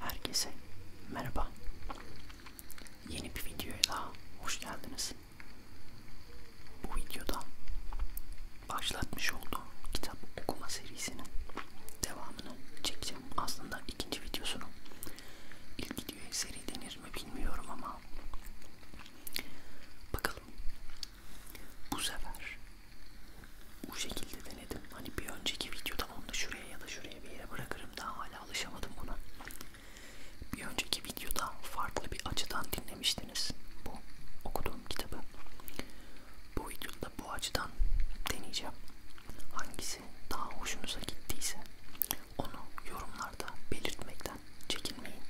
Herkese merhaba. Yeni bir videoya daha hoş geldiniz. Bu videoda başlatmış olduğum kitap okuma serisinin devamını çekeceğim. Aslında ikinci videosunu. İlk videoya seri denir mi bilmiyorum ama bakalım. Bu sefer bu şekilde denedim. Hani bir önceki videoda onu da şuraya ya da şuraya bir yere bırakırım. Daha hala alışamadım buna. Bir önceki videoda farklı bir açıdan dinlemiştiniz bu okuduğum kitabı. Bu videoda bu açıdan deneyeceğim. Hangisi daha hoşunuza gittiyse onu yorumlarda belirtmekten çekinmeyin.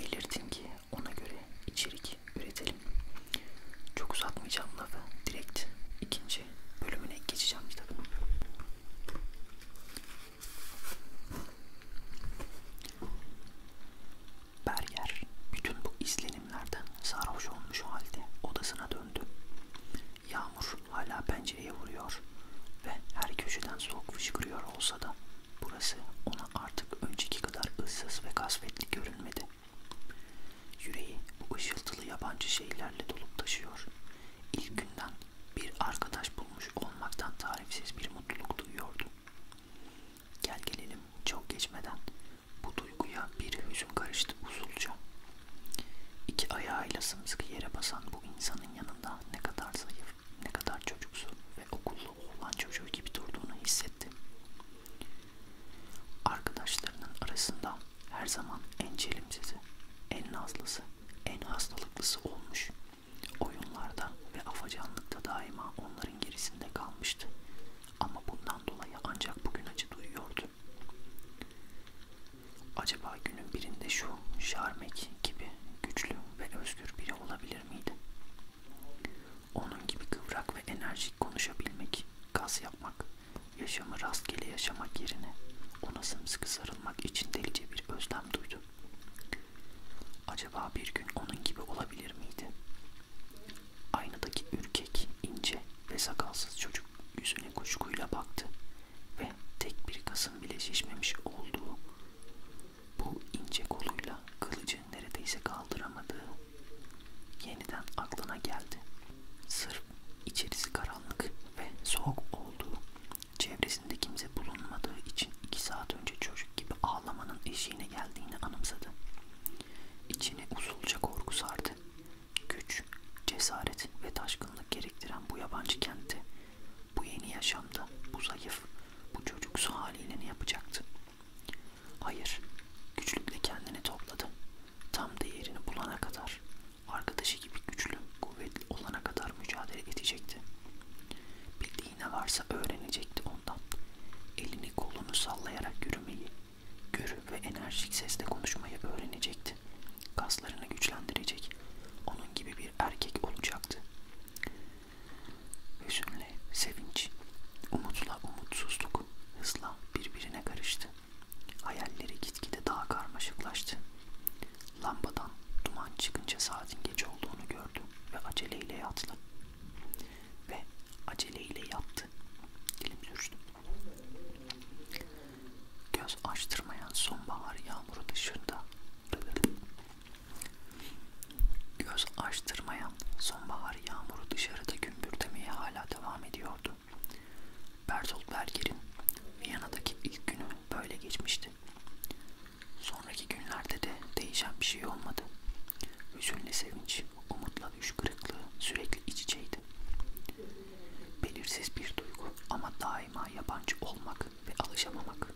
Belirtin ki ona göre içerik üretelim. Çok uzatmayacağım lafı. Direkt ikinci bölümüne geçeceğim kitabın. Berger bütün bu izlenimlerden sarhoş olmuş halde odasına döndü. Yağmur hala pencereye vuruyor ve her köşeden soğuk fışkırıyor olsa da burası ona artık önceki kadar ıssız ve kasvetli görünmedi. Yüreği bu ışıltılı yabancı şeylerle dolup taşıyor. İlk günden bir arkadaş bulmuş olmaktan tarifsiz bir mutluluk duyuyordu. Gel gelelim çok geçmeden bu duyguya bir hüzün karıştı usulca. İki ayağıyla sımsıkı yere basan bu insanın yanında ne kadar zayıf, ne kadar çocuksu ve okullu oğlan çocuğu gibi durduğunu hissetti. Arkadaşlarının arasında her zaman en çelimsizi, en nazlısı, en hastalıklısı olmuş. Oyunlarda ve afacanlıkta daima onların gerisinde kalmıştı. Ama bundan dolayı ancak bugün acı duyuyordu. Acaba günün birinde şu Şarmek gibi güçlü ve özgür biri olabilir miydi? Onun gibi kıvrak ve enerjik konuşabilmek, gaz yapmak, Yaşamı rastgele yaşamak yerine ona sımsıkı sarılmak için delice bir özlem duydu. Acaba bir gün onun gibi olabilir miydi? Aynadaki ürkek, ince ve sakalsız çocuk yüzüne kuşkuyla baktı ve tek bir kasın bile şişmemiş olduğu bu ince koluyla kılıcı neredeyse kaldıramadığı yeniden aklına geldi. Sırf içerisi karanlık ve soğuk olduğu, çevresinde kimse bulunmadığı için iki saat önce çocuk gibi ağlamanın eşiğine geldiğini anımsadı. İçini usulca korku sardı. Güç, cesaret ve taşkınlık gerektiren bu yabancı kentte, bu yeni yaşamda, bu zayıf, bu çocuksu haliyle ne yapacaktı? Hayır, güçlükle kendini topladı tam değerini bulana kadar, arkadaşı gibi güçlü, kuvvetli olana kadar mücadele edecekti. Bildiği ne varsa öğrenecekti ondan. Elini kolunu sallayarak yürümeyi, görü ve enerjik sesle konuşmayı öğrenecekti. Kaslarını güçlendirecek, onun gibi bir erkek olacaktı. Hüzünle sevinç, umutla umutsuzluk hızla birbirine karıştı. Hayalleri gitgide daha karmaşıklaştı. Lambadan duman çıkınca saatin geç olduğunu gördü ve aceleyle yattı. Ve aceleyle yattı. Dilim sürçtü. Göz açtırmayan sonbahar yağmuru dışında göz açtırmayan sonbahar yağmuru dışarıda gümbürtemeye hala devam ediyordu. Bertolt Berger'in Viyana'daki ilk günü böyle geçmişti. Sonraki günlerde de değişen bir şey olmadı. Hüzünle sevinç, umutla düş kırıklığı sürekli iç içeydi. Belirsiz bir duygu ama daima yabancı olmak ve alışamamak.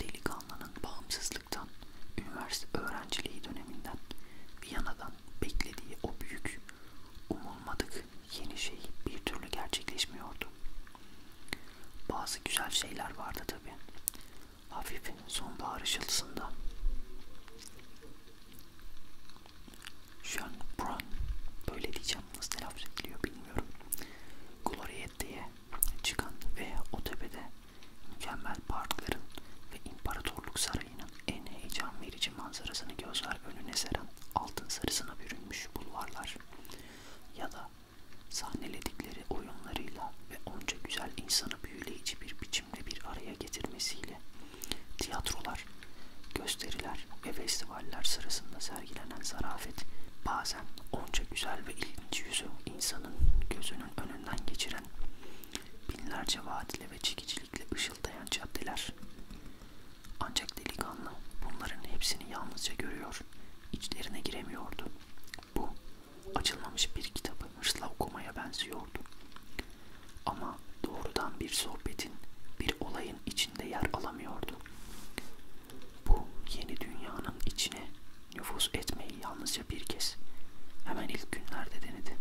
Delikanlının bağımsızlıktan, üniversite öğrenciliği döneminden, Viyana'da insanlardan beklediği o büyük, umulmadık yeni şey bir türlü gerçekleşmiyordu. Bazı güzel şeyler vardı tabi. Hafif sonbahar ışıltısında. Sean Brown, böyle diyeceğim nasıl telaffuz ediliyor bilmiyorum. Gloriette'ye çıkan ve o tepede mükemmel parkların ve imparatorluk sarayı Sarayı'nın en heyecan verici manzarasını gözler önüne seren altın sarısına bürünmüş bulvarlar ya da sahneledikleri oyunlarıyla ve onca güzel insanı büyüleyici bir biçimde bir araya getirmesiyle tiyatrolar, gösteriler ve festivaller sırasında sergilenen zarafet bazen onca güzel ve ilginç yüzü insanın gözünün önünden geçiren binlerce vaadle ve çekicilikle ışıldayan caddeler. Ancak delikanlı bunların hepsini yalnızca görüyor, içlerine giremiyordu. Bu, açılmamış bir kitabı hırsla okumaya benziyordu. Ama doğrudan bir sohbetin, bir olayın içinde yer alamıyordu. Bu yeni dünyanın içine nüfus etmeyi yalnızca bir kez, hemen ilk günlerde denedi.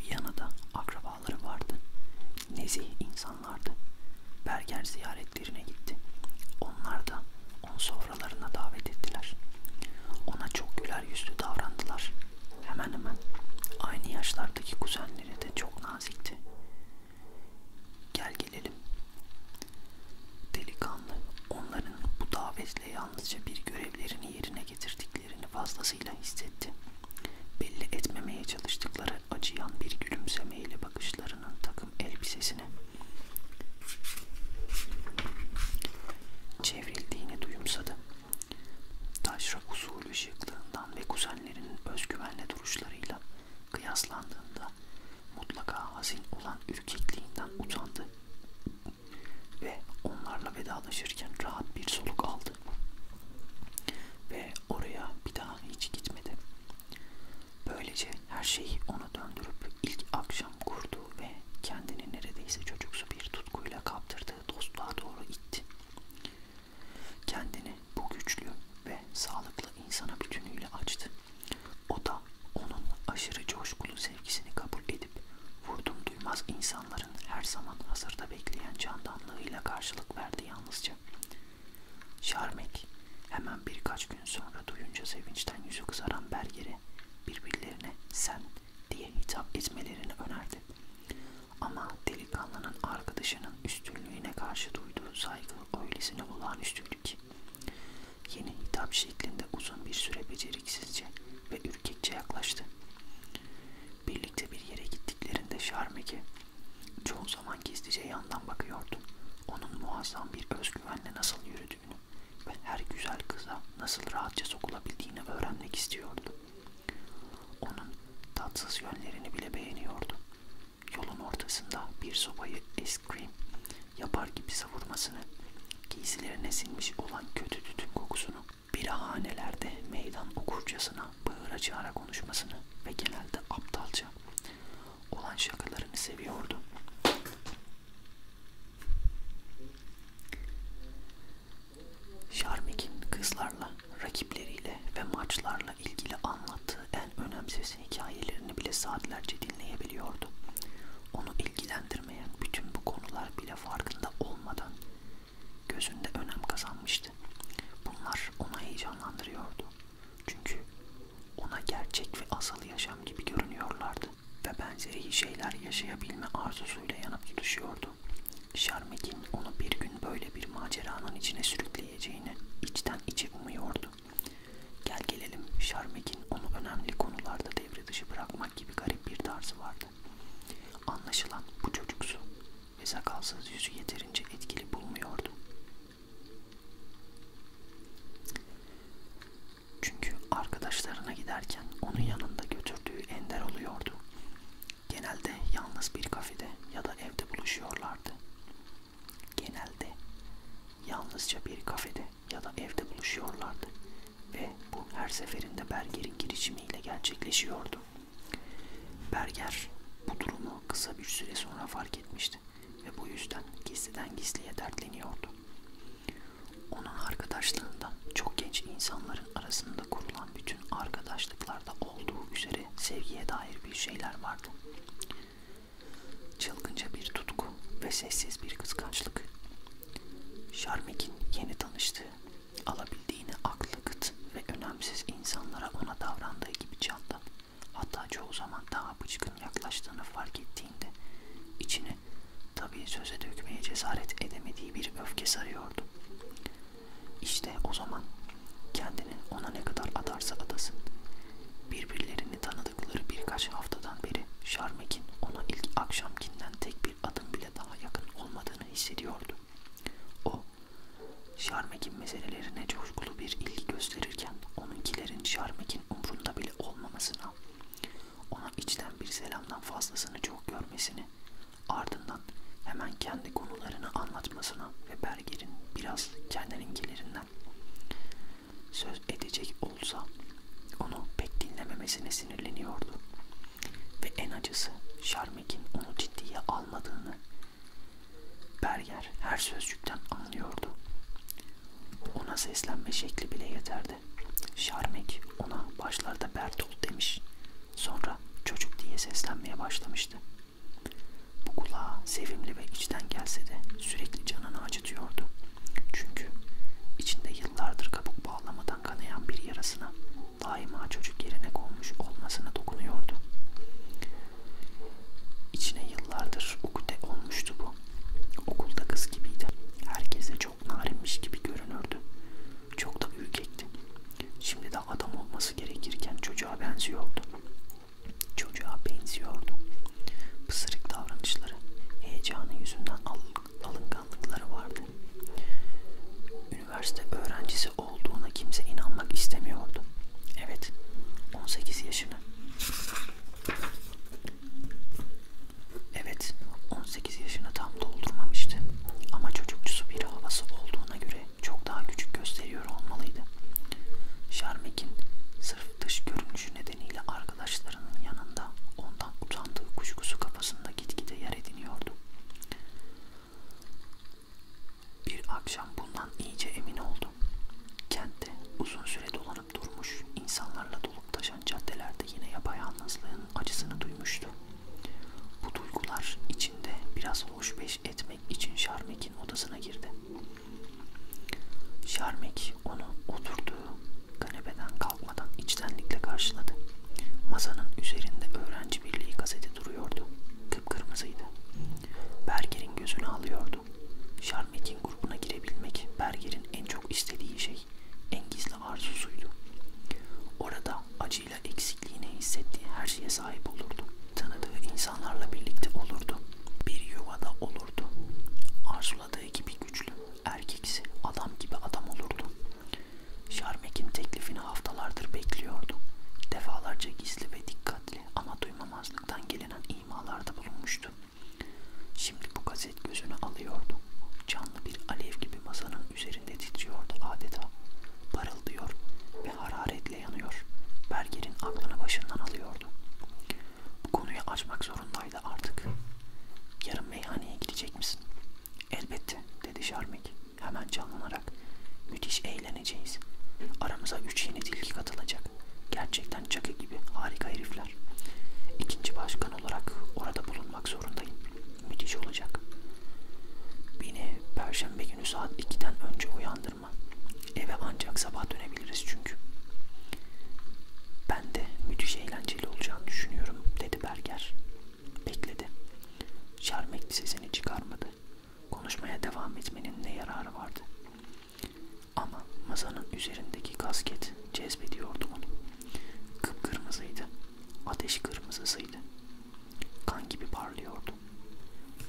Viyana'da akrabaları vardı. Nezih insanlardı. Berger ziyaretlerine gitti. Onlar da onu sofralarına davet ettiler. Ona çok güler yüzlü davrandılar. Hemen hemen aynı yaşlardaki kuzenleri de çok nazikti. Gel gelelim. Delikanlı onların bu davetle yalnızca bir görevlerini yerine getirdik kendilerini fazlasıyla hissetti. Belli etmemeye çalıştıkları acıyan bir gülümsemeyle bakışlarının takım elbisesine çevrildiğini duyumsadı. Taşra usulü şıklığından ve kuzenlerinin özgüvenle duruşlarıyla kıyaslandığında mutlaka hazin olan ürkekliğinden utandı ve onlarla vedalaşırken rahat bir soluk aldı ve oraya bir daha hiç gitmedi. Böylece her şeyi ona döndürüp ilk akşam kurduğu ve kendini neredeyse çocuksu bir tutkuyla kaptırdığı dostluğa doğru itti. Kendini bu güçlü ve sağlıklı insana bütünüyle açtı. O da onun aşırı coşkulu sevgisini kabul edip edip vurdum duymaz insanların her zaman hazırda bekleyen candanlığıyla karşılık verdi yalnızca. Şarmek hemen birkaç gün sonra duyunca sevinçten yüzü kızaran Berger'e birbirlerine sen diye hitap etmelerini önerdi. Ama delikanlının arkadaşının üstünlüğüne karşı duyduğu saygı öylesine olağanüstüydü ki. Yeni hitap şeklinde uzun bir süre beceriksizce ve ürkekçe yaklaştı. Birlikte bir yere gittiklerinde Şarmeki çoğu zaman gizlice yandan bakıyordu. Onun muazzam bir özgüvenle nasıl yürüdüğünü ve her güzel kıza nasıl rahatça sokulabildiğini öğrenmek istiyordu. Onun tatsız yönlerini bile beğeniyordu. Yolun ortasında bir sopayı eskrim yapar gibi savurmasını, giysilerine sinmiş olan kötü tütün kokusunu birahanelerde meydan okurcasına bağıra çağıra konuşmasını ve genelde aptalca olan şakalarını seviyordu. Şarmik'in kızlarla, rakipleriyle ve maçlarla ilgili anlattığı en önemsiz hikayelerini bile saatlerce dinleyebiliyordu. Onu ilgilendirmeyen bütün bu konular bile farkında olmadan gözünde önem kazanmıştı. Bunlar ona heyecanlandırıyordu. Çünkü ona gerçek ve asıl yaşam gibi görünüyorlardı ve benzeri şeyler yaşayabilme arzusuyla yanıp tutuşuyordu. Şarmek'in onu bir gün böyle bir maceranın içine sürükleyeceğini içten içe umuyordu. Gel gelelim Şarmek'in onu önemli konularda devre dışı bırakmak gibi garip bir tarzı vardı görkemli. Anlaşılan bu çocuksu ve sakalsız yüzü yeterince etkili bulmuyordu. Çünkü arkadaşlarına giderken onun yanında götürdüğü ender oluyordu. Genelde yalnız bir kafede ya da evde buluşuyorlardı. Genelde yalnızca bir kafede ya da evde buluşuyorlardı. Ve bu her seferinde Berger'in girişimiyle gerçekleşiyordu. Berger bu durumu kısa bir süre sonra fark etmişti ve bu yüzden gizliden gizliye dertleniyordu. Onun arkadaşlığında çok genç insanların arasında kurulan bütün arkadaşlıklarda olduğu üzere sevgiye dair bir şeyler vardı. Çılgınca bir tutku ve sessiz bir kıskançlık. Şarmek'in yeni tanıştığı Alabildiğini aklı kıt ve önemsiz insanlara ona davrandığı gibi candan. Hatta çoğu zaman daha bıçkın yaklaştığını fark ettiğinde içine tabii söze dökmeye cesaret edemediği bir öfke sarıyordu. İşte o zaman kendini ona ne kadar adarsa adasın. Birbirlerini tanıdıkları birkaç haftadan beri Şarmek'in ona ilk akşamkinden tek bir adım bile daha yakın olmadı kaldığını hissediyordu. O, Şarmek'in meselelerine coşkulu bir ilgi gösterirken onunkilerin Şarmek'in umrunda bile olmamasına, ona içten bir selamdan fazlasını çok görmesini, ardından hemen kendi konularını anlatmasına ve Berger'in biraz kendininkilerinden söz edecek olsa onu pek dinlememesine sinirleniyordu. Ve en acısı Şarmek'in onu ciddiye almadığını Berger her sözcükten anlıyordu. Ona seslenme şekli bile yeterdi. Şarmek ona başlarda Bertolt demiş. Sonra çocuk diye seslenmeye başlamıştı. Bu kulağa sevimli ve içten gelse de sürekli canını acıtıyordu. Çünkü içinde yıllardır kabuk bağlamada taraftan kanayan bir yarasına daima çocuk yerine konmuş olmasına dokunuyordu. İçine yıllardır ukde olmuştu bu. Okulda kız gibiydi. Herkese çok narinmiş gibi görünürdü. Çok da ürkekti. Şimdi de adam olması gerekirken çocuğa benziyordu. Çocuğa benziyordu. Pısırık davranışları, heyecanı yüzünden al alınganlıkları vardı. Üniversite öğrencisi olduğuna kimse inanmak istemiyordu. Evet, 18 yaşını. Evet, 18 yaşını tam doldurmamıştı. Ama çocukçusu bir havası olduğuna göre çok daha küçük gösteriyor olmalıydı. Şarmek'in sırf dış görünüşü nedeniyle arkadaşlarının yanında ondan utandığı kuşkusu kafasını arasında gitgide yer ediniyordu. Bir akşam bundan iyice emin oldum. Kentte uzun süre dolanıp durmuş, insanlarla dolup taşan caddelerde yine yapayalnızlığın acısını duymuştu. Bu duygular içinde biraz hoşbeş etmek için Şarmek'in odasına girdi. Şarmek onu oturduğu Kanepeden kalkmadan içtenlikle karşıladı. Masanın üzerinde öğrenci birliği gazeti duruyordu. Kıpkırmızıydı. Berger'in gözünü alıyordu. Şarmetin grubuna girebilmek Berger'in en çok istediği şey, en gizli arzusuydu. Orada acıyla eksikliğini hissettiği her şeye sahip olurdu. Tanıdığı insanlarla birlikte olurdu. Bir yuvada olurdu. Arzuladığı gibi güçlü, erkeksi, adam gibi adam olurdu. Şarmek'in teklifini haftalardır bekliyordu. Defalarca gizli ve dikkatli ama duymamazlıktan gelinen imalarda bulunmuştu. Şimdi bu gazet gözünü alıyordu. Canlı bir alev gibi masanın üzerinde titriyordu adeta. Parıldıyor ve hararetle yanıyor. Berger'in aklını başından alıyordu. Bu konuyu açmak zorundaydı artık. Yarın meyhaneye gidecek misin? Elbette dedi Şarmik hemen canlanarak. Müthiş eğleneceğiz. Aramıza üç yeni tilki katılacak. Gerçekten çakı gibi harika herifler. İkinci başkan olarak orada bulunmak zorundayım. Müthiş olacak. Beni perşembe günü saat 2'den önce uyandırma. Eve ancak sabah dönebiliriz çünkü. Ben de müthiş eğlenceli olacağını düşünüyorum dedi Berger. Bekledi. Şermekli sesini çıkarmadı. Konuşmaya devam etmenin ne yararı vardı? Ama masanın üzerindeki kasket cezbediyordu onu. Kıpkırmızıydı. Ateş kırmızısıydı. Kan gibi parlıyordu.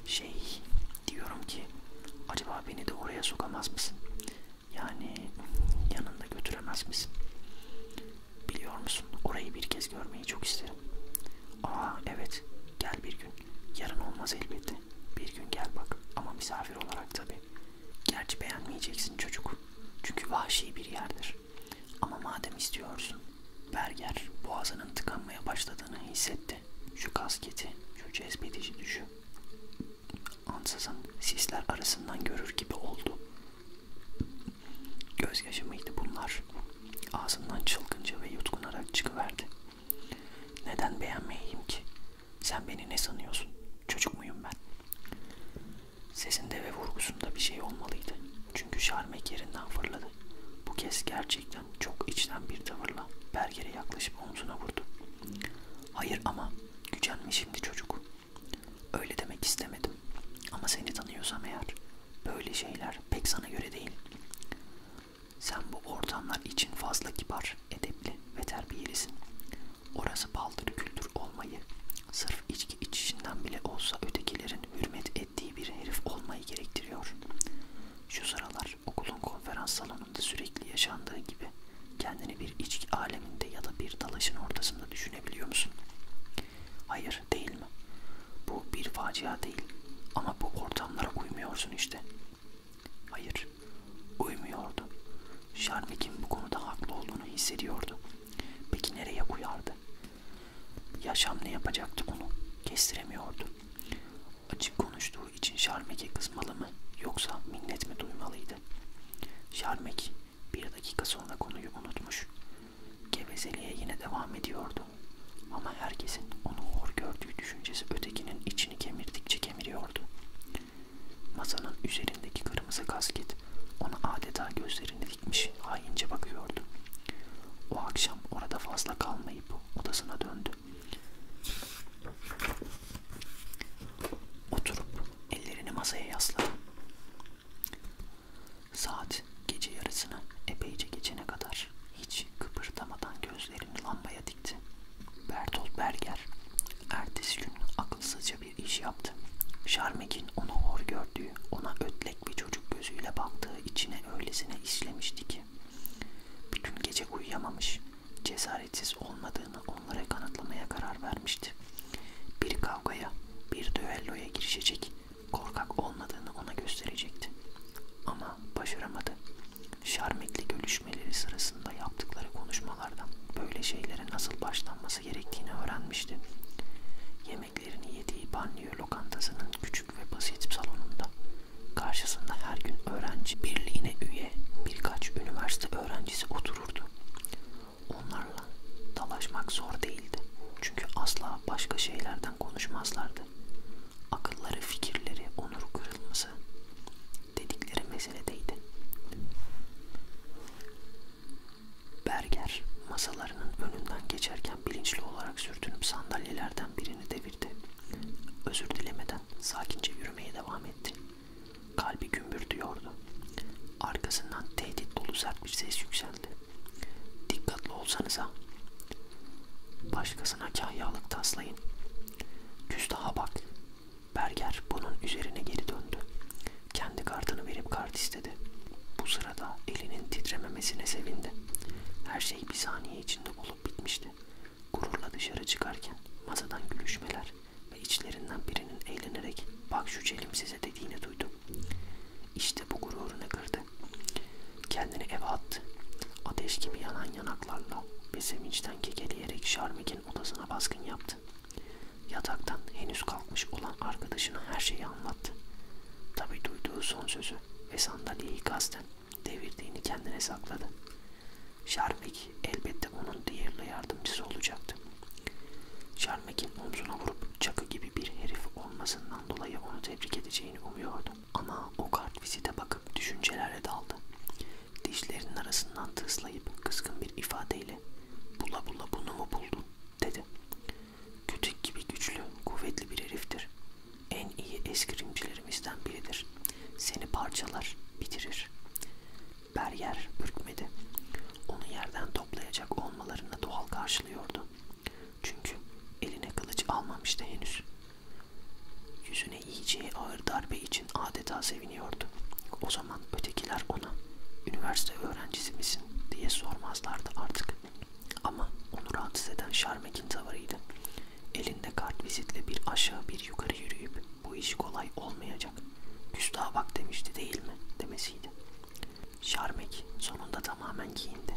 Şey diyorum ki acaba beni de oraya sokamaz mısın? Yani yanında götüremez misin? Biliyor musun? Orayı bir kez görmeyi çok isterim. Aa evet. Gel bir gün. Yarın olmaz elbette. Bir gün gel bak. Ama misafir olarak tabii. Gerçi beğenmeyeceksin çocuk. Çünkü vahşi bir yerdir. Ama madem istiyorsun. Berger boğazının tıkanmaya başladığını hissetti. Şu kasketi, şu cezbedici düşü. Ansızın sisler arasından görür gibi oldu. Göz yaşamıydı bunlar. Ağzından çılgınca ve yutkunarak çıkıverdi. Neden beğenmeyeyim ki? Sen beni ne sanıyorsun? Çocuk muyum ben? Sesinde ve vurgusunda bir şey olmalıydı. Çünkü şarmek yerinden fırladı. Bu kez gerçekten çok içten bir tavırla Berger'e yaklaşıp omzuna vurdu. Hayır ama gücenmiş şimdi çocuk. Öyle demek istemedim. Ama seni tanıyorsam eğer böyle şeyler pek sana göre değil. Sen bu ortamlar için fazla kibar, edepli ve terbiyelisin. Orası paldır küldür olmayı, sırf içki içişinden bile olsa ötekilerin hürmet ettiği bir herif olmayı gerektiriyor. Şu sıralar okulun konferans salonunda sürekli yaşandığı gibi kendini bir içki aleminde ya da bir dalaşın ortasında düşünebiliyor musun? Hayır değil mi? Bu bir facia değil. Ama bu ortamlara uymuyorsun işte. Hayır. Uymuyordu. Şarvik'in bu konuda haklı olduğunu hissediyordu. Peki nereye uyardı? Yaşam ne yapacaktı onu? Kestiremiyordu. Açık konuştuğu için Şarmek'e kızmalı mı yoksa minnet mi duymalıydı? Şarmek bir dakika sonra konuyu unutmuş. Gevezeliğe yine devam ediyordu. Ama herkesin onu hor gördüğü düşüncesi ötekinin içini kemirdikçe kemiriyordu. Masanın üzerindeki kırmızı kasket ona adeta gözlerini dikmiş haince bakıyordu. O akşam orada fazla kalmayıp odasına döndü. Oturup ellerini masaya yasladı. Saat gece yarısına epeyce geçene kadar hiç kıpırdamadan gözlerini lambaya dikti. Bertolt Berger ertesi gün akılsızca bir iş yaptı. Şarmek'in onu hor gördüğü, ona ötlek bir çocuk gözüyle baktığı içine öylesine işlemişti ki. Bütün gece uyuyamamış, cesaretsiz olmadığını onlara kanıtlamaya karar vermişti. Bir kavgaya, bir düelloya girişecek, korkak olmadığını ona gösterecekti. Ama başaramadı. Şarmetli görüşmeleri sırasında yaptıkları konuşmalardan böyle şeylere nasıl başlanması gerektiğini öğrenmişti. Yemeklerini yediği banliyö lokantasının küçük ve basit salonunda karşısında her gün öğrenci birliğine üye birkaç üniversite öğrencisi otururdu. Onlarla dalaşmak zor değildi. Çünkü asla başka şeylerden konuşmazlardı. Akılları, fikirleri, onur kırılması dedikleri meseledeydi. Berger masalarının önünden geçerken bilinçli olarak sürtünüp sandalyelerden birini devirdi. Özür dilemeden sakince yürümeye devam etti. Kalbi gümbürdüyordu. Arkasından tehdit dolu sert bir ses yükseldi. Dikkatli olsanıza. Başkasına kahyalık taslayın. Küstaha bak. Berger bunun üzerine geri döndü. Kendi kartını verip kart istedi. Bu sırada elinin titrememesine sevindi. Her şey bir saniye içinde olup bitmişti. Gururla dışarı çıkarken masadan gülüşmeler, ve içlerinden birinin eğlenerek bak şu celim size dediğini duydum. İşte bu gururunu kırdı. Kendini eve attı. Ateş gibi yanan yanaklarla ve sevinçten kekeleyerek Şarmik'in odasına baskın yaptı. Yataktan henüz kalkmış olan arkadaşına her şeyi anlattı. Tabi duyduğu son sözü ve sandalyeyi kasten devirdiğini kendine sakladı. Şarmik elbette onun diğerli yardımcısı olacaktı. Şermek'in omzuna vurup çakı gibi bir herif olmasından dolayı onu tebrik edeceğini umuyordum. Ama o kart vizite bakıp düşüncelere daldı. Dişlerinin arasından tıslayıp kızgın bir ifadeyle ''Bula bula bunu mu buldun?'' dedi. ''Kütük gibi güçlü, kuvvetli bir heriftir. En iyi eskrimcilerimizden biridir. Seni parçalar, bitirir. Berger ürkmedi. Onu yerden toplayacak olmalarını doğal karşılıyordu. Çünkü eline kılıç almamıştı henüz. Yüzüne yiyeceği ağır darbe için adeta seviniyordu. O zaman ötekiler ona üniversite öğrencisi misin diye sormazlardı artık. Ama onu rahatsız eden Şarmek'in tavırıydı. Elinde kart vizitle bir aşağı bir yukarı yürüyüp bu iş kolay olmayacak. Küstaha bak demişti değil mi demesiydi. Şarmek sonunda tamamen giyindi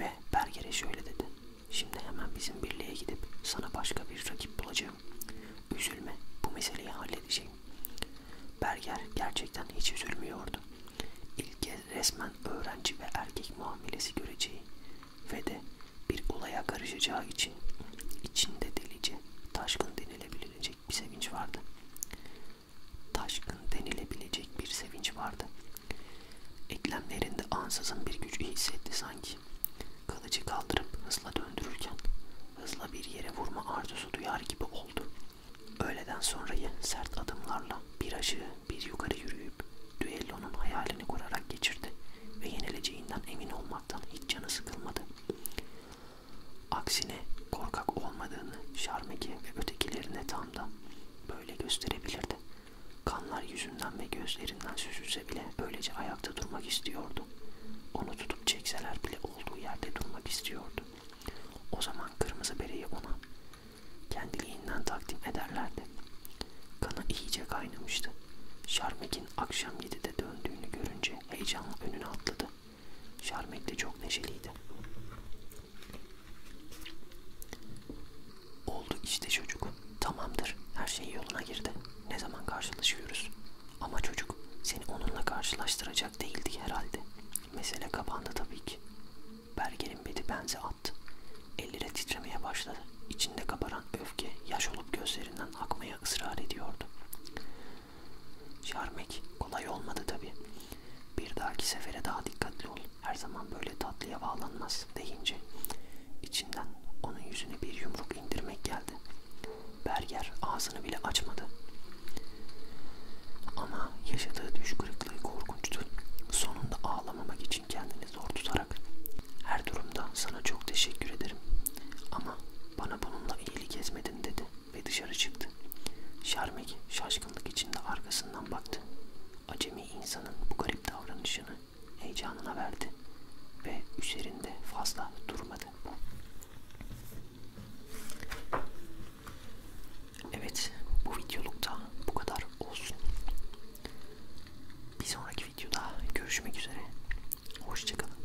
ve Berger'e şöyle dedi. Şimdi hemen bizim birliğe gidip sana başka bir rakip bulacağım. Üzülme bu meseleyi halledeceğim. Berger gerçekten hiç üzülmüyordu. İlk kez resmen öğrenci ve erkek muamelesi göreceği ve de bir olaya karışacağı için içinde delice, taşkın denilebilecek bir sevinç vardı taşkın denilebilecek bir sevinç vardı. Eklemlerinde ansızın bir güç hissetti sanki. Kılıcı kaldırıp hızla döndürürken hızla bir yere vurma arzusu duyar gibi oldu. Öğleden sonrayı sert adımlarla bir aşağı bir yukarı yürüyüp düellonun hayalini kurarak geçirdi ve yenileceğinden emin olmaktan hiç canı sıkılmadı. Aksine korkak olmadığını Şarmeki ve ötekilerine tam da böyle gösterebilirdi. Kanlar yüzünden ve gözlerinden süzülse bile öylece ayakta durmak istiyordu. Onu tutup çekseler bile olduğu yerde durmak istiyordu. O zaman kırmızı bereyi ona kendiliğinden takdim ederlerdi. Kanı iyice kaynamıştı. Şarmek'in akşam 7'de döndüğünü görünce heyecanla önüne atladı. Şermek de çok neşeliydi. Oldu işte çocuk. Tamamdır. Her şey yoluna girdi. Ne zaman karşılaşıyoruz? Ama çocuk seni onunla karşılaştıracak değildi herhalde. Mesele kapandı tabii ki. Berger'in bedi benze attı. Elleri titremeye başladı. İçinde kabaran öfke yaş olup gözlerinden akmaya ısrar ediyordu. Şarmek kolay olmadı tabi. Bir dahaki sefere daha dikkatli ol. Her zaman böyle tatlıya bağlanmaz deyince içinden onun yüzüne bir yumruk indirmek geldi. Berger ağzını bile açmadı. Ama yaşadığı düş kırıklığı korkunçtu. Sonunda ağlamamak için kendini zor tutarak her durumda sana çok teşekkür ederim. Ama bana bununla iyilik ezmedin dedi ve dışarı çıktı. Şarmek şaşkınlık içinde arkasından baktı. Acemi insanın bu garip davranışını heyecanına verdi ve üzerinde fazla durmadı. Evet bu videolukta bu kadar olsun. Bir sonraki videoda görüşmek üzere. Hoşçakalın.